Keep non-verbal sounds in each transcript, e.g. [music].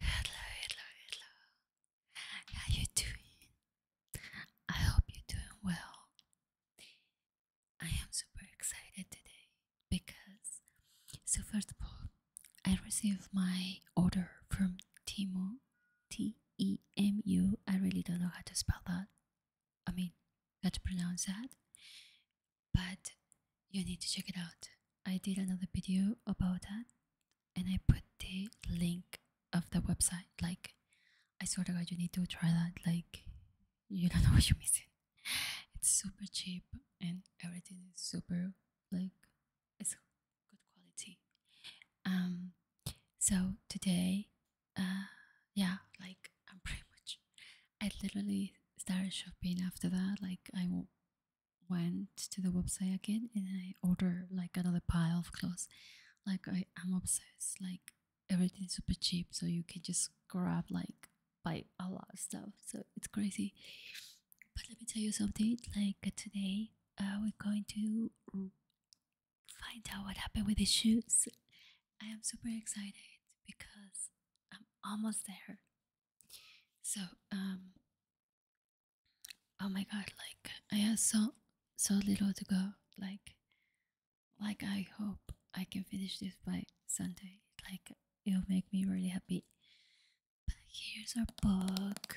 Hello, hello, hello. How you doing? I hope you're doing well. I am super excited today because so first of all, I received my order from Timo T E M U. I really don't know how to spell that. I mean, how to pronounce that but you need to check it out. I did another video about that and I put the link of the website. Like, I swear to God, you need to try that. Like, you don't [laughs] know what you're missing. It's super cheap and everything is super, like, it's good quality. Um, so today, uh, yeah, like, I'm pretty much, I literally started shopping after that. Like, I went to the website again and I ordered like another pile of clothes. Like I am obsessed. Like everything's super cheap, so you can just grab like buy a lot of stuff. So it's crazy. But let me tell you something. Like today, uh, we're going to find out what happened with the shoes. I am super excited because I'm almost there. So, um, oh my god, like I have so so little to go. Like, like I hope I can finish this by Sunday. Like it'll make me really happy. But here's our book.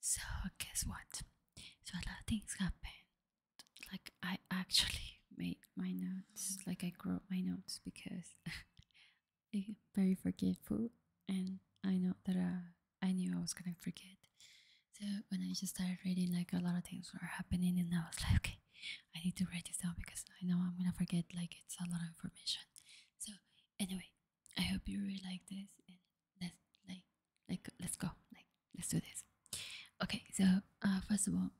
So guess what? So a lot of things happened. Like I actually made my notes. Like I wrote my notes because [laughs] I'm very forgetful, and I know that I, uh, I knew I was gonna forget. So when I just started reading, like a lot of things were happening, and I was like, okay, I need to write this down because I know I'm gonna forget. Like it's a lot of information. So anyway, I hope you really like this and let's like like let's go like let's do this. Okay, so uh, first of all,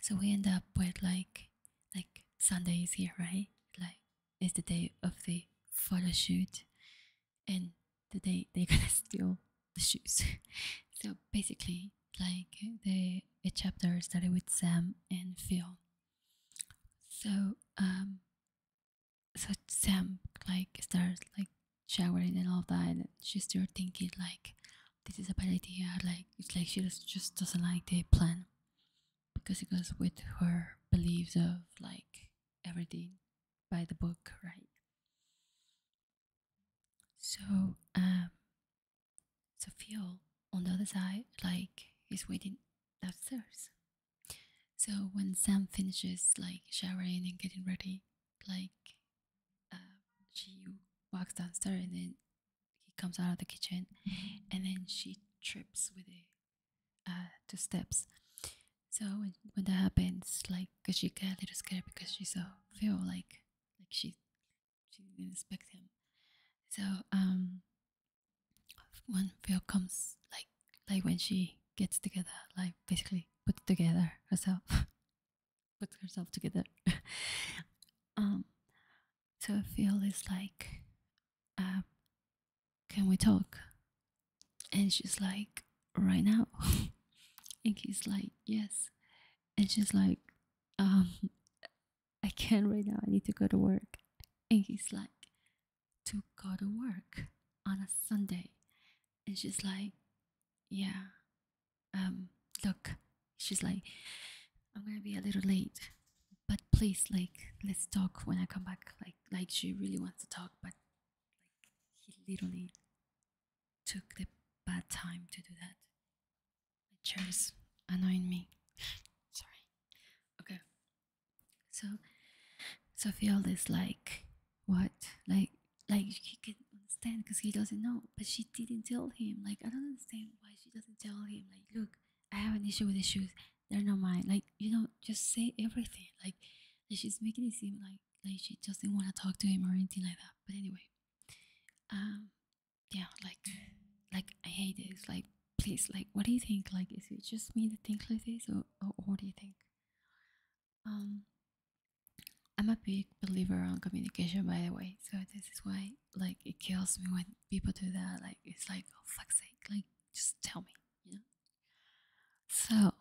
so we end up with like like Sunday is here, right? Like it's the day of the photo shoot, and the day they're [laughs] gonna steal the shoes. [laughs] so basically, like the a chapter started with Sam and Phil, so um, so Sam like starts like showering and all that, and she's still thinking like this is a bad idea. Like it's like she just, doesn't like the plan because it goes with her beliefs of like everything by the book, right? So um, so Phil on the other side like is waiting downstairs. So when Sam finishes like showering and getting ready, like um, she walks downstairs and then he comes out of the kitchen mm-hmm. and then she trips with a uh, two steps. So when, that happens, like, cause she get a little scared because she so feel like, like she she didn't expect him. So um, when Phil comes, like like when she gets together, like basically puts together herself, [laughs] puts herself together. [laughs] um, so Phil is like, uh, "Can we talk?" And she's like, "Right now," [laughs] and he's like, "Yes," and she's like, um, I can't right now. I need to go to work. And he's like, To go to work on a Sunday. And she's like, Yeah. Um, look. She's like, I'm gonna be a little late. But please, like, let's talk when I come back. Like like she really wants to talk, but like he literally took the bad time to do that. My chair is annoying me. [sighs] Sorry. Okay. So, so is like, what? Like, like he can understand because he doesn't know, but she didn't tell him. Like, I don't understand why she doesn't tell him. Like, look, I have an issue with the shoes. They're not mine. Like, you know, just say everything. Like, she's making it seem like like she does not want to talk to him or anything like that. But anyway, um, yeah, like, like I hate this. Like, please, like, what do you think? Like, is it just me that thinks like this, or, what do you think? Um, I'm a big believer on communication, by the way. So this is why, like, it kills me when people do that. Like, it's like, oh fuck's sake, like, just tell me, you know. So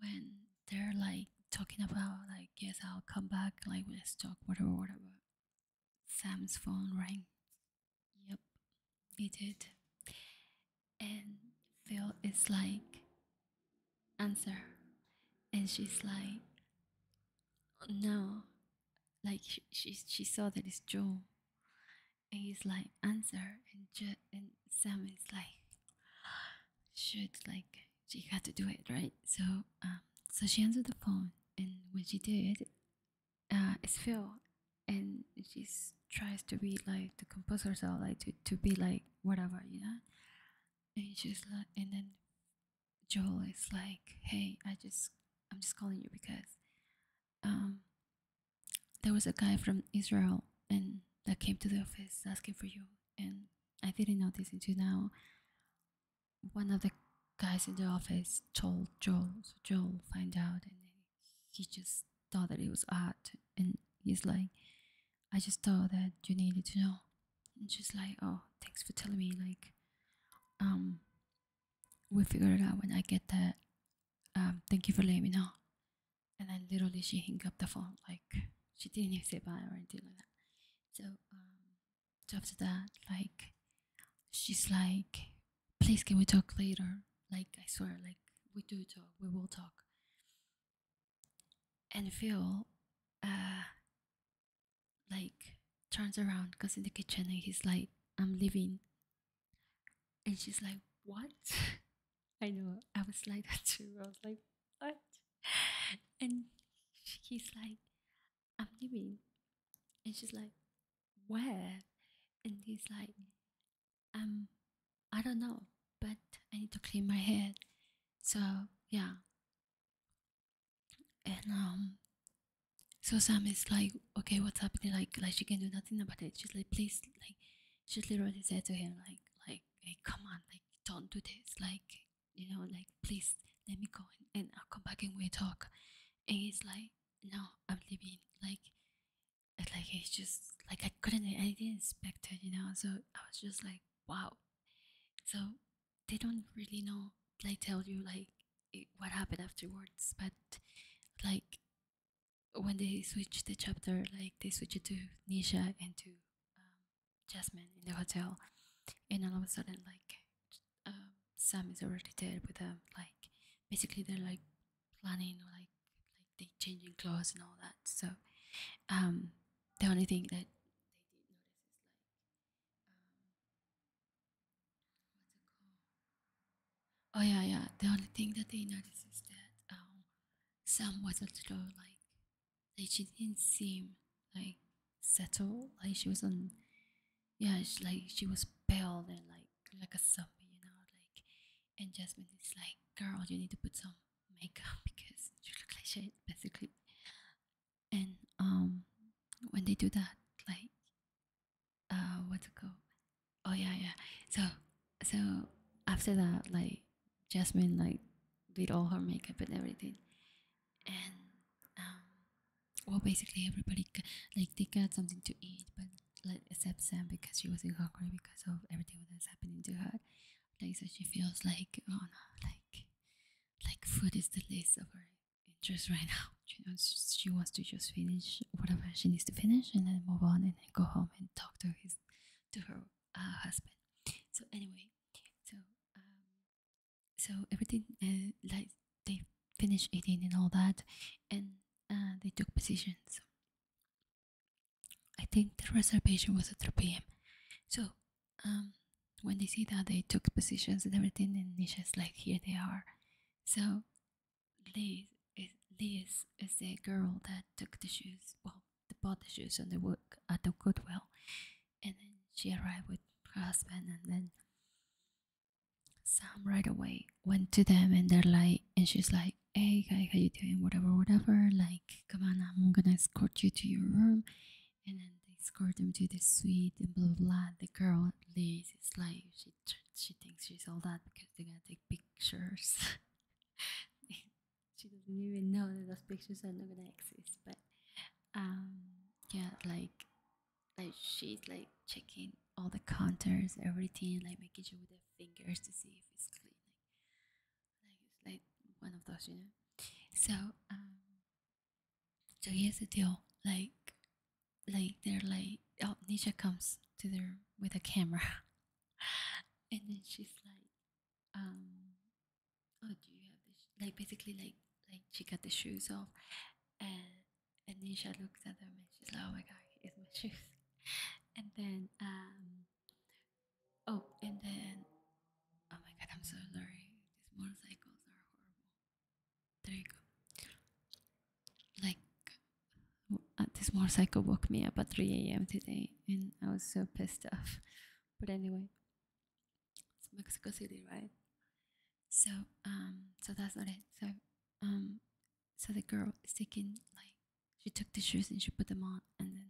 when they're like talking about, like, yes, I'll come back, like, when it's talk, whatever, whatever. Sam's phone rang. Yep, it did. And Phil is like, answer. And she's like, no. Like, she, she, she saw that it's Joe. And he's like, answer. And, Je- and Sam is like, shoot, like, she had to do it, right? So, um, so she answered the phone and when she did, uh, it's Phil, and she tries to be like the composer, so like to, to be like whatever, you know. And she's like, and then Joel is like, "Hey, I just I'm just calling you because um, there was a guy from Israel and that came to the office asking for you, and I didn't notice until now one of the guys in the office told Joel, so Joel find out, and he just thought that it was art, and he's like, I just thought that you needed to know. And she's like, oh, thanks for telling me. Like, um, we'll figure it out when I get that. Um, thank you for letting me know. And then literally she hung up the phone. Like, she didn't even say bye or anything like that. So, um, after that, like, she's like, please, can we talk later? Like, I swear, like, we do talk, we will talk. And Phil, uh, like, turns around, goes in the kitchen, and he's like, I'm leaving. And she's like, what? [laughs] I know, I was like that too. I was like, what? [laughs] And he's like, I'm leaving. And she's like, Where? And he's like, Um, I don't know, but I need to clean my head. So, yeah. And, um, so Sam is like, okay, what's happening? Like, like she can do nothing about it. She's like, please, like, she literally said to him, like, like, hey, come on, like, don't do this. Like, you know, like, please let me go and, and I'll come back and we talk. And it's like, no, I'm leaving. Like, like it's just like I couldn't, I didn't expect it, you know. So I was just like, wow. So they don't really know, like, tell you like what happened afterwards, but like when they switch the chapter, like they switch it to Nisha and to um, Jasmine in the hotel, and all of a sudden, like um, Sam is already there with them. Um, like basically, they're like planning or like like they changing clothes and all that. So um, the only thing that um, Oh yeah, yeah. The only thing that they noticed is that um, Sam wasn't so like like she didn't seem like settled. Like she was on, yeah, she, like she was pale and like like a zombie, you know. Like, and Jasmine is like, "Girl, you need to put some makeup [laughs] because you look like shit, basically." And um, when they do that, like, uh, what's it called? Oh yeah, yeah. So, so after that, like, Jasmine like did all her makeup and everything, and um, well, basically everybody like they got something to eat, but like except Sam because she was in hungry because of everything that's happening to her. Like so, she feels like oh no, like like food is the least of her interest right now. You [laughs] know, she wants to just finish whatever she needs to finish and then move on and then go home and talk to his to her uh, husband. So anyway, so um, so everything uh, like they finished eating and all that and uh, they took positions i think the reservation was at 3 p.m so um, when they see that they took positions and everything and it's just like here they are so liz is, liz is the girl that took the shoes well the potages on the work at the Goodwill. And then she arrived with her husband, and then Sam right away went to them, and they're like, and she's like, "Hey guy, how you doing? Whatever, whatever. Like, come on, I'm gonna escort you to your room." And then they escort them to the suite, and blah blah. The girl Liz is like, she she thinks she's all that because they are gonna take pictures. [laughs] she doesn't even know that those pictures are not gonna exist. But um, yeah, like like she's like checking all the counters, everything, like making sure with her fingers to see if it's clean. Like, like one of those, you know. So um, so here's the deal, like like they're like oh Nisha comes to their with a camera [laughs] and then she's like um Oh, do you have Like basically, like like she got the shoes off, and and she looks at them and she's like, "Oh my god, it's my [laughs] shoes." And then um, oh, and then oh my god, I'm so sorry. These motorcycles are horrible. There you go. Like uh, this motorcycle woke me up at 3 a.m. today, and I was so pissed off. But anyway, it's Mexico City, right? So um, so that's not it. So um, so the girl is taking like she took the shoes and she put them on, and then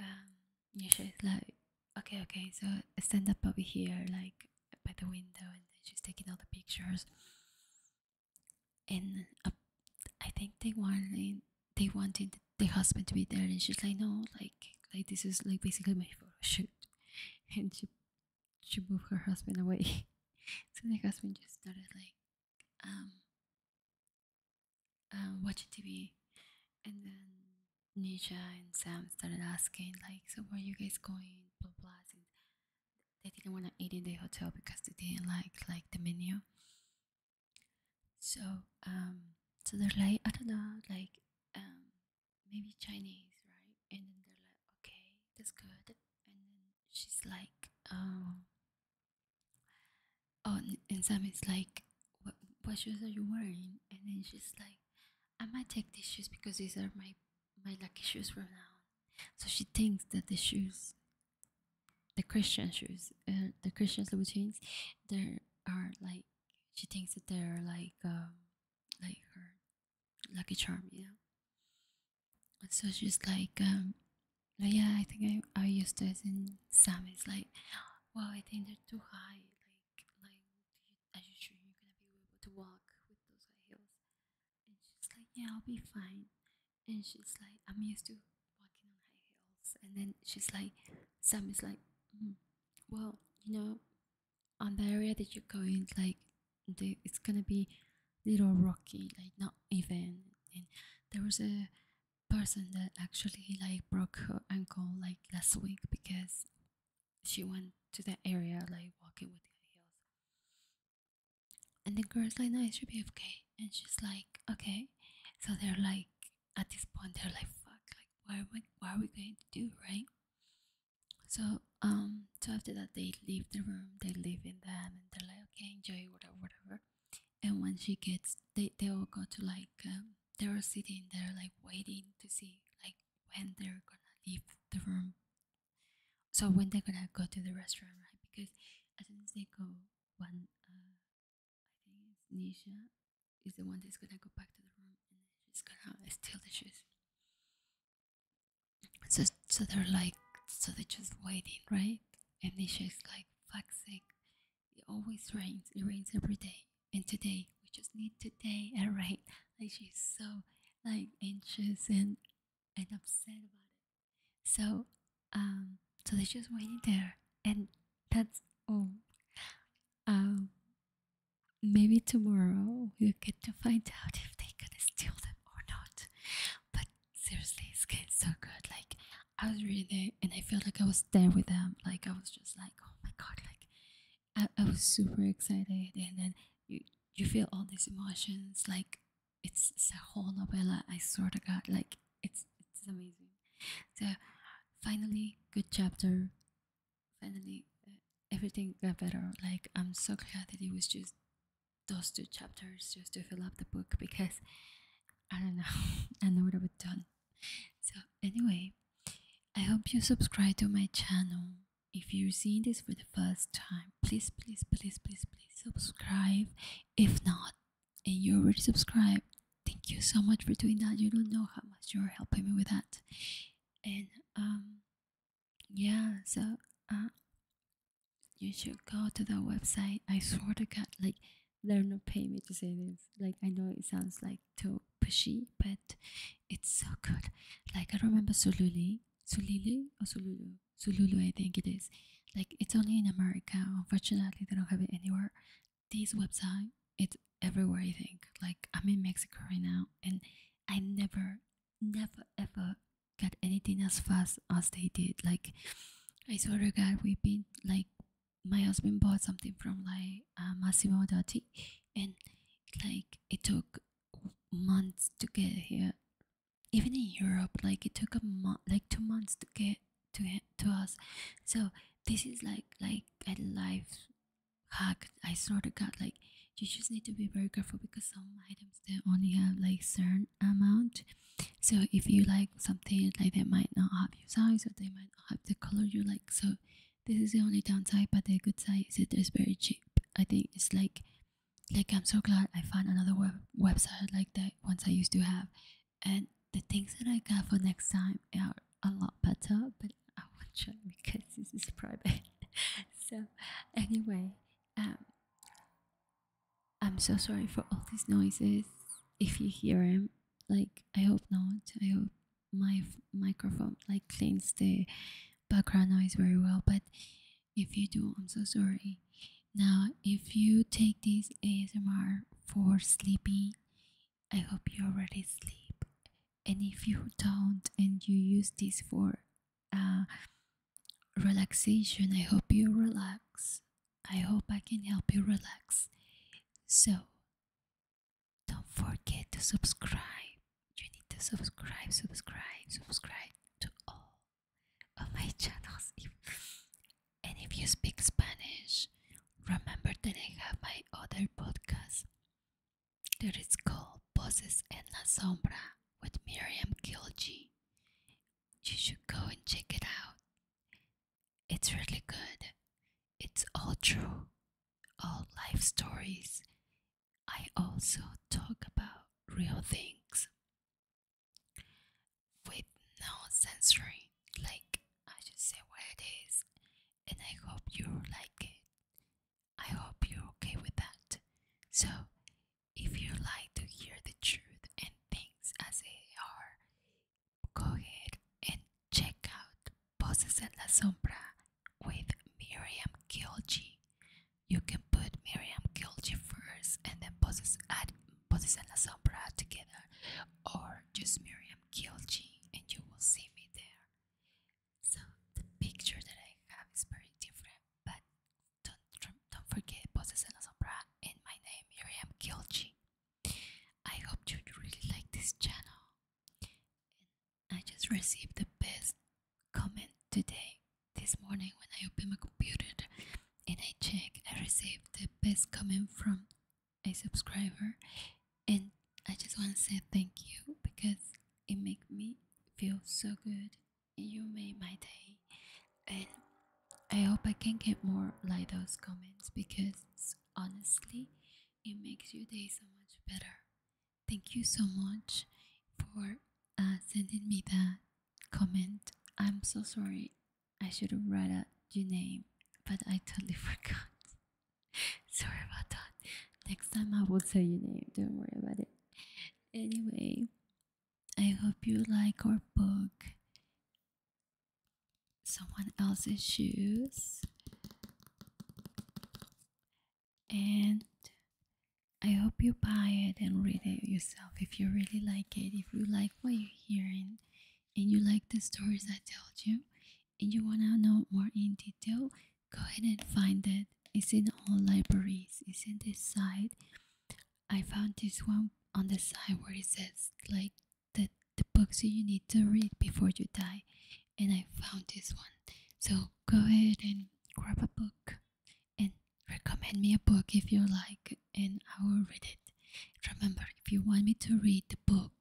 um, she's like, okay, okay, so stand up over here, like by the window, and then she's taking all the pictures. And I think they wanted they wanted the husband to be there and she's like no like like this is like basically my photo shoot [laughs] and she she moved her husband away [laughs] so the husband just started like um uh, watching tv and then nisha and sam started asking like so where are you guys going they didn't want to eat in the hotel because they didn't like like the menu so um, so they're like I don't know, like um, maybe Chinese, right? And then they're like, okay, that's good. And then she's like, um, oh, and Sam is like, what, what shoes are you wearing? And then she's like, I might take these shoes because these are my my lucky shoes from now. So she thinks that the shoes the Christian shoes, uh, the Christian Louboutins, there are like she thinks that they're like um, like her lucky charm, yeah. so she's like, um, yeah, I think I I used this in some. like, wow, I think they're too high. Like like, are you sure you're gonna be able to walk with those high heels? And she's like, yeah, I'll be fine and she's like, I'm used to walking on high heels. And then she's like, Sam is like, mm, well, you know, on the area that you're going, like, it's gonna be little rocky, like not even. And there was a person that actually like broke her ankle like last week because she went to that area like walking with high heels. And the girl's like, no, it should be okay and she's like okay so they're like at this point they're like fuck like what are we, what are we going to do right so um so after that they leave the room they leave in the and they're like okay enjoy whatever whatever and when she gets they, they all go to like um, they were sitting there like waiting to see like when they're gonna leave the room so when they're gonna go to the restaurant right because as soon as they go one uh, I think it's Nisha is the one that's gonna go back to the room and she's gonna steal the shoes. So so they're like so they're just waiting, right? And Nisha is like, fuck's sake, it always rains. It rains every day. And today, we just need today [laughs] all right? Like she's so like anxious and and upset about it. So, um, so they just waited there, and that's all. Oh, um, maybe tomorrow we'll get to find out if they gonna steal them or not. But seriously, it's getting so good. Like I was reading, there, and I felt like I was there with them. Like I was just like, oh my god, like I, I was super excited, and then you you feel all these emotions, like it's, a whole novella. I swear to God, like it's it's amazing. So finally, good chapter. Finally, uh, everything got better. Like I'm so glad that it was just those two chapters just to fill up the book because I don't know, [laughs] I know what I have done. So anyway, I hope you subscribe to my channel. If you're seeing this for the first time, please, please, please, please, please subscribe. If not, and you already subscribed, thank you so much for doing that. You don't know how much you're helping me with that. And um, yeah, so uh, you should go to the website. I swear to God, like they're not paying me to say this. Like I know it sounds like too pushy, but it's so good. Like I remember Sululi, Sulili or oh, Sululu, um, Zululu, I think it is. Like it's only in America. Unfortunately, they don't have it anywhere. These website, it's everywhere. I think. Like I'm in Mexico right now, and I never, never, ever got anything as fast as they did. Like I saw a guy we've been like my husband bought something from like uh, Massimo Dotti, and like it took months to get here even in Europe, like it took a month, like two months to get to to us. So this is like like a life hack. I sort of got like you just need to be very careful because some items they only have like certain amount. So if you like something like they might not have your size or they might not have the color you like. So this is the only downside, but the good side is it is very cheap. I think it's like like i'm so glad i found another web website like the ones i used to have and the things that i got for next time are a lot better but i won't show because this is private [laughs] so anyway um i'm so sorry for all these noises if you hear them like i hope not i hope my microphone like cleans the background noise very well but if you do, I'm so sorry. Now, if you take this ASMR for sleeping, I hope you already sleep. And if you don't and you use this for uh, relaxation, I hope you relax. I hope I can help you relax. So, don't forget to subscribe. You need to subscribe, subscribe, subscribe to all of my channels. and if you speak Spanish, remember that I have my other podcast that is called Bosses en la Sombra with Miriam Kilgi. You should go and check it out. It's really good. It's all true, all life stories. I also talk about real things with no sensory like I should say what it is and I hope you like it. I hope you're okay with that. So if you like to hear the truth and things as they are, go ahead and check out Poses en la Sombra with Miriam Kilji you can put Miriam Kilji first and then Poses, Ad, Poses and La Sombra together, or just Miriam Kilji and you will see me there. So the picture that I have is very different, but don't, don't forget Poses and La Sombra and my name, Miriam Kilji. I hope you really like this channel. I just received the best comment today, this morning when I open my computer and I check, I received the best comment from a subscriber, and I just want to say thank you because it made me feel so good. You made my day, and I hope I can get more like those comments because honestly, it makes your day so much better. Thank you so much for uh, sending me that comment. I'm so sorry. I should have read out your name, but I totally [laughs] forgot. sorry about that. Next time I will tell your name. Don't worry about it. Anyway, I hope you like our book. Someone else's shoes and I hope you buy it and read it yourself if you really like it, if you like what you're hearing and you like the stories I told you and you want to know more in detail, go ahead and find it. It's in all libraries, it's in this site. I found this one on the side where it says like the, the books you need to read before you die and I found this one. So go ahead and grab a book and recommend me a book if you like and I will read it. Remember, if you want me to read the book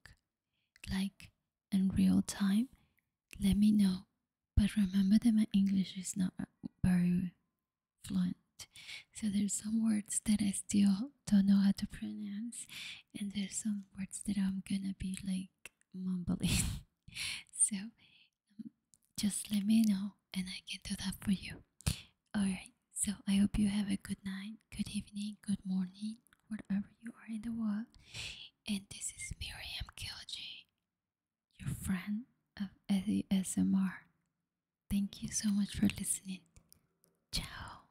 like in real time, let me know. But remember that my English is not very fluent. So there's some words that I still don't know how to pronounce and there's some words that I'm gonna be like mumbling. [laughs] so just let me know and I can do that for you. Alright, so I hope you have a good night, good evening, good morning, wherever you are in the world. And this is Miriam Kilji, your friend of ASMR. Thank you so much for listening. Ciao.